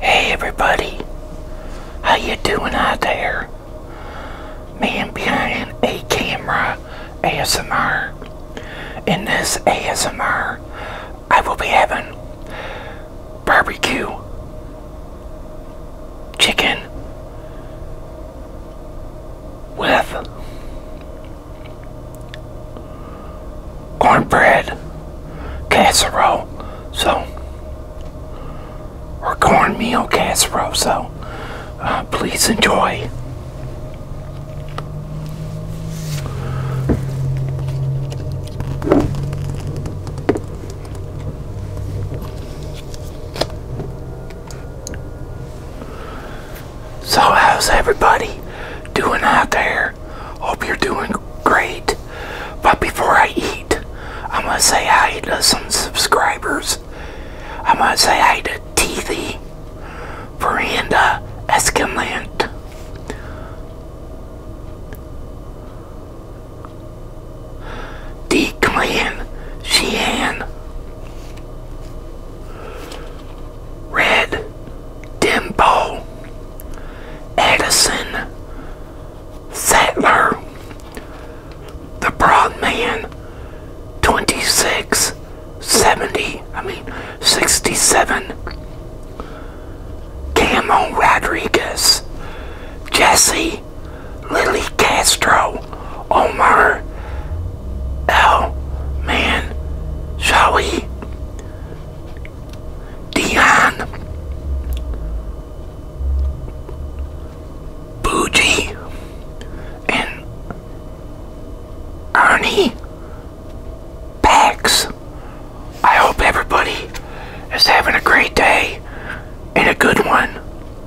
Hey everybody, how you doing out there? Man behind a camera ASMR. In this ASMR, I will be having barbecue, chicken with cornbread casserole. So, or cornmeal casserole. So, uh, please enjoy. So, how's everybody doing out there? Hope you're doing great. But before I eat, I'm going to say hi to some subscribers. I'm going to say hi to TV, Veranda Eskinland. Declan, Clan Red Dimbo, Edison, Settler, The Broadman, 26, 70, I mean 67, Camo Rodriguez, Jesse, Lily Castro, Omar L. Man Shawi Dion Bougie and Ernie Pax. I hope everybody is having a great day and a good one.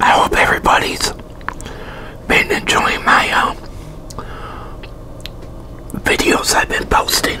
I hope everybody's been enjoying my uh, videos I've been posting.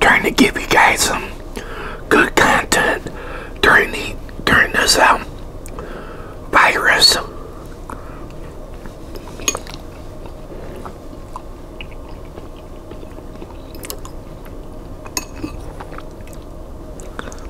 Trying to give you guys some good content during the during this um, virus.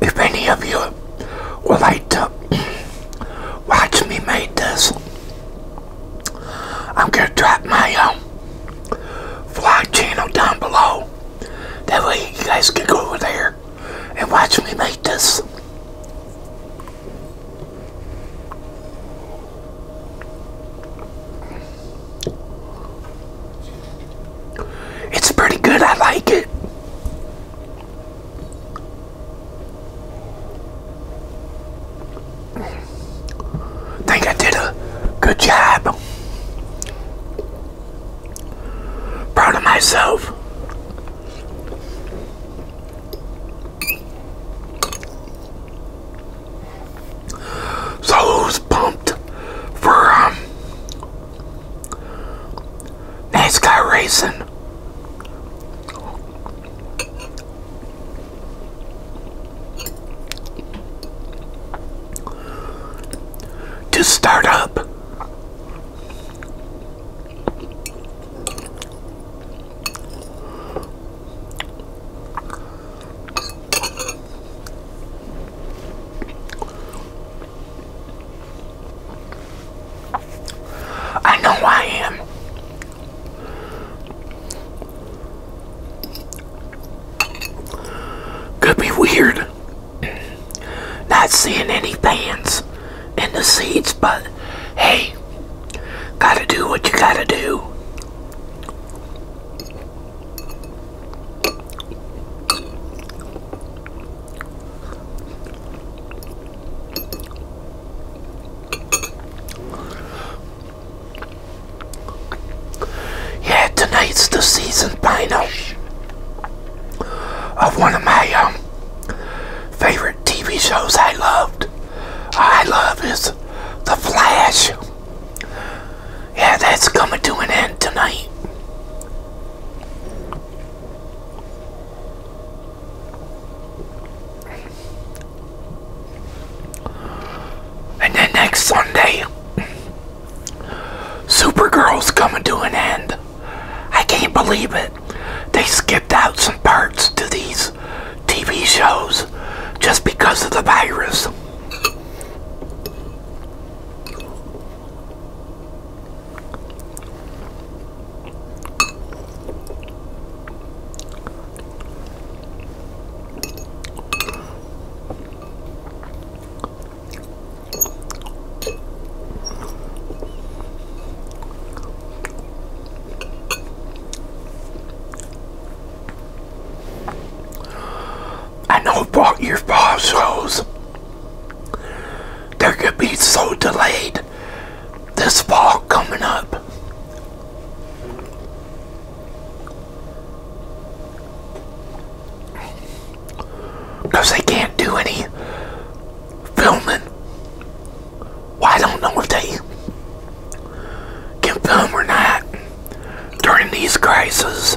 If any of you would like to watch me make this, I'm going to drop my um, vlog channel down below. That way you guys can go over there and watch me make this. It's pretty good. I like it. Think I did a good job. Proud of myself. So who's pumped for um, NASCAR racing? to start up. I know I am. Could be weird. Not seeing any pans in the seats, but hey, gotta do what you gotta do. Yeah, tonight's the season finale of one of my um, favorite TV shows I loved. I love is The Flash. Yeah, that's coming to an end tonight. And then next Sunday, Supergirl's coming to an end. I can't believe it. They skipped out some parts to these TV shows just because of the virus. I know about your fall shows. They're going to be so delayed this fall coming up. Because they can't do any filming. I don't know if they can film or not during these crises.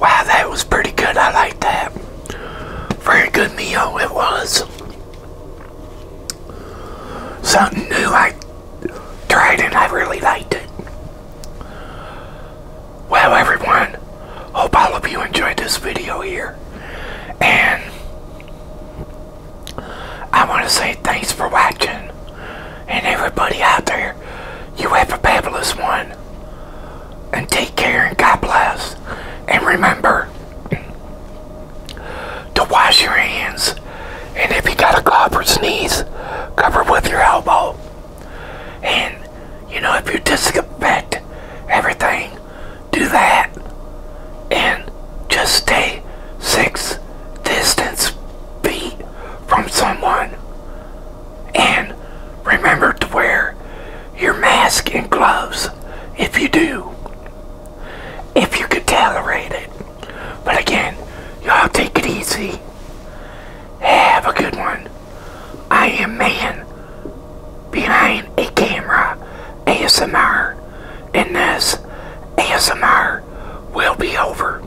Wow, that was pretty good. I like that. Very good meal it was something new I tried and I really liked it. Well, everyone, hope all of you enjoyed this video here. And I want to say thanks for watching. And everybody out there, you have a fabulous one and take care and God bless. And remember to wash your hands. And if you got a cough or sneeze, cover with your elbow. And, you know, if you disinfect everything, do that. And just stay six distance feet from someone. And remember to wear your mask and gloves if you do. If you can tolerate it. But again, y'all take it easy. Have a good one. I am man behind a camera ASMR and this ASMR will be over.